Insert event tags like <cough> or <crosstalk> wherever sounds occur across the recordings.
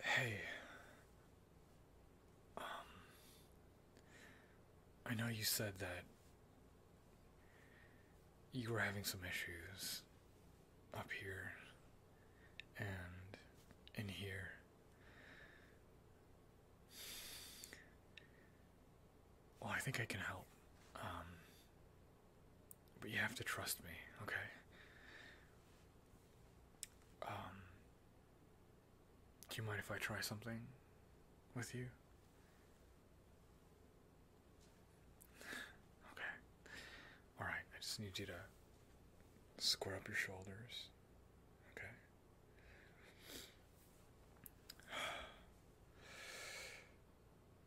Hey. Um. I know you said that you were having some issues up here and in here. Well, I think I can help. Um. But you have to trust me, okay? Um, do you mind if I try something with you? <sighs> Okay. Alright, I just need you to square up your shoulders. Okay. <sighs> <sighs>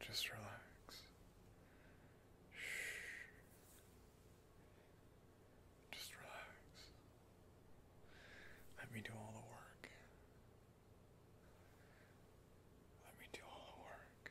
Just relax. Shh. Just relax. Let me do all the work. Let me do all the work.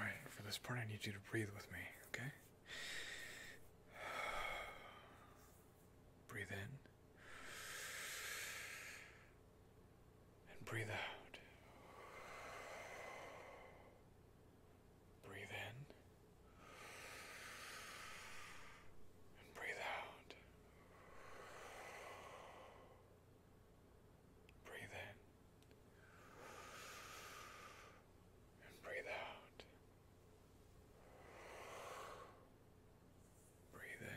All right, for this part, I need you to breathe with me, okay? Breathe in and breathe out. Breathe in and breathe out. Breathe in and breathe out. Breathe in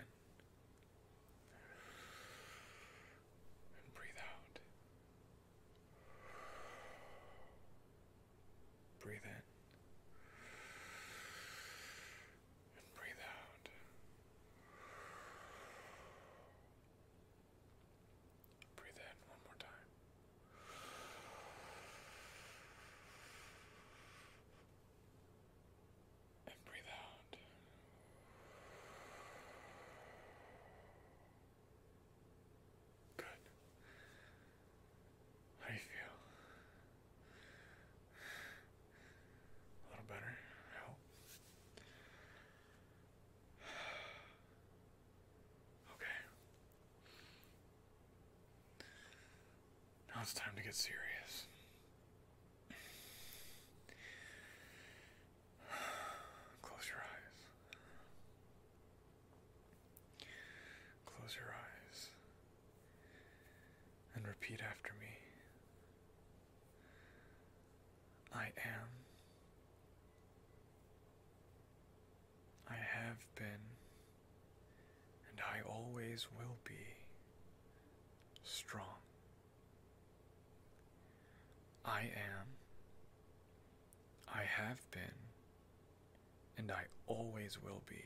and breathe out. Breathe in and breathe out. Breathe in one more time. And breathe out. Good. How do you feel? A little better, I <sighs> Okay. Now it's time to get serious. <sighs> Close your eyes. Close your eyes and repeat after me. I am. I have been, and I always will be strong. I am, I have been, and I always will be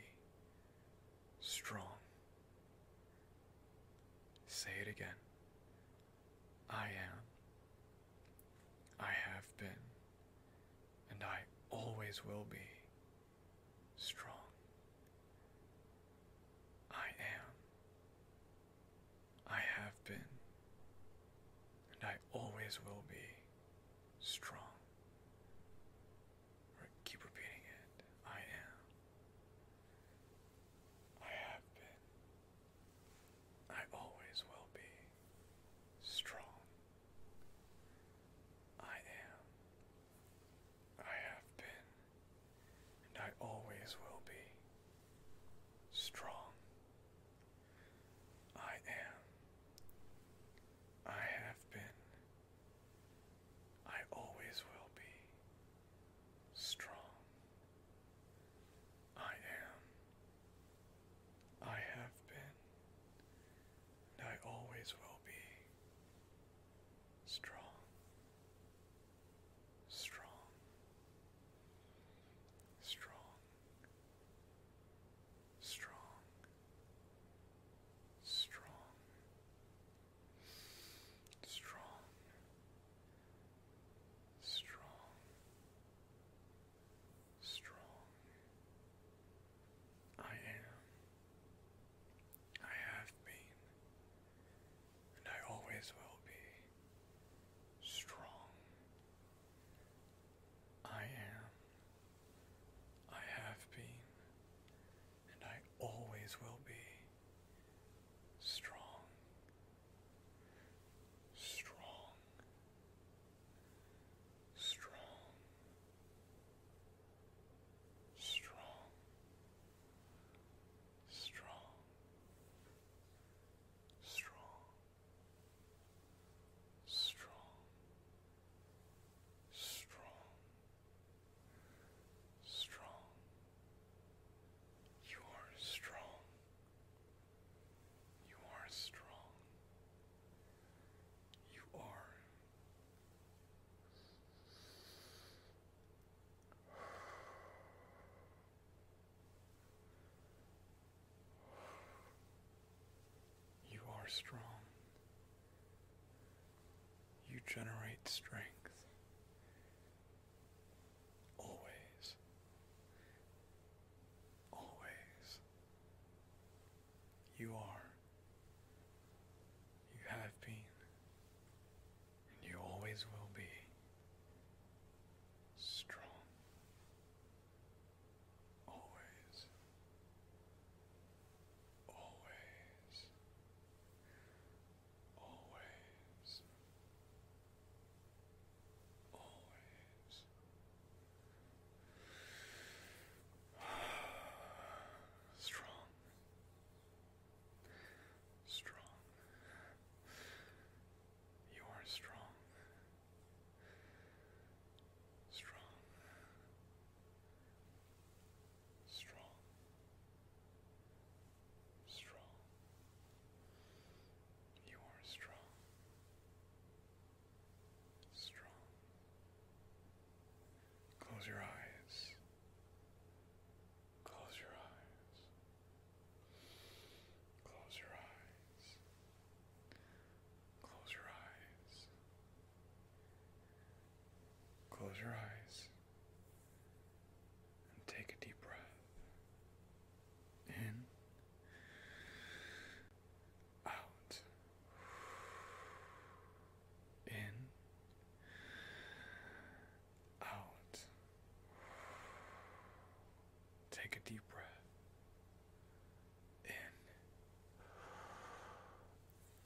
strong. Say it again. I am, I have been, and I always will be strong. I am, I have been, and I always will be, strong. Keep repeating it. I am. I have been. I always will be strong. I am. I have been, and I always will be, strong. I am, I have been, I always will be, strong. I am, I have been, and I always will be, strong strong, strong, strong, strong, strong, strong, strong. I am. I have been and I always will be strong. I am, I have been, and I always will be strong. Strong. Strong strong, strong, strong, strong, strong, strong. You are strong. You are strong. You are you are strong. You generate strength. Always. Always. You are. You have been. And you always will be. Strong. Always. Always. Always. Always. <sighs> Strong. Strong. You are strong. Strong. Strong. Strong. You are strong strong. Close your eyes. Close your eyes. Close your eyes. Close your eyes. Close your eyes and take a deep breath in, out, in. Out. Take a deep breath. In.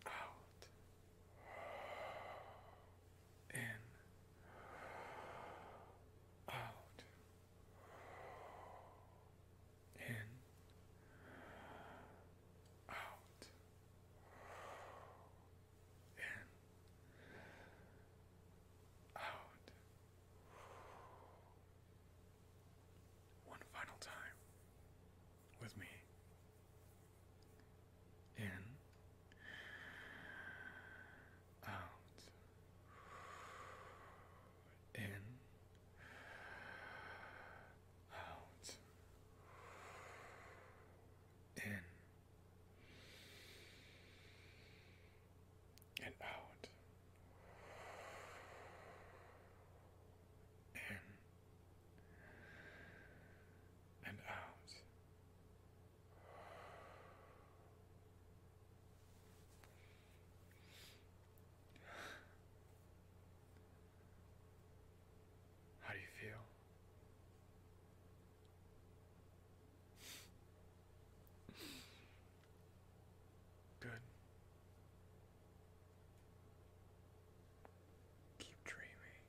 Out. In. Out in, out, in, out. One final time with me. In, out, in, out, in, and out, in, and out. How do you feel? Good. Keep dreaming.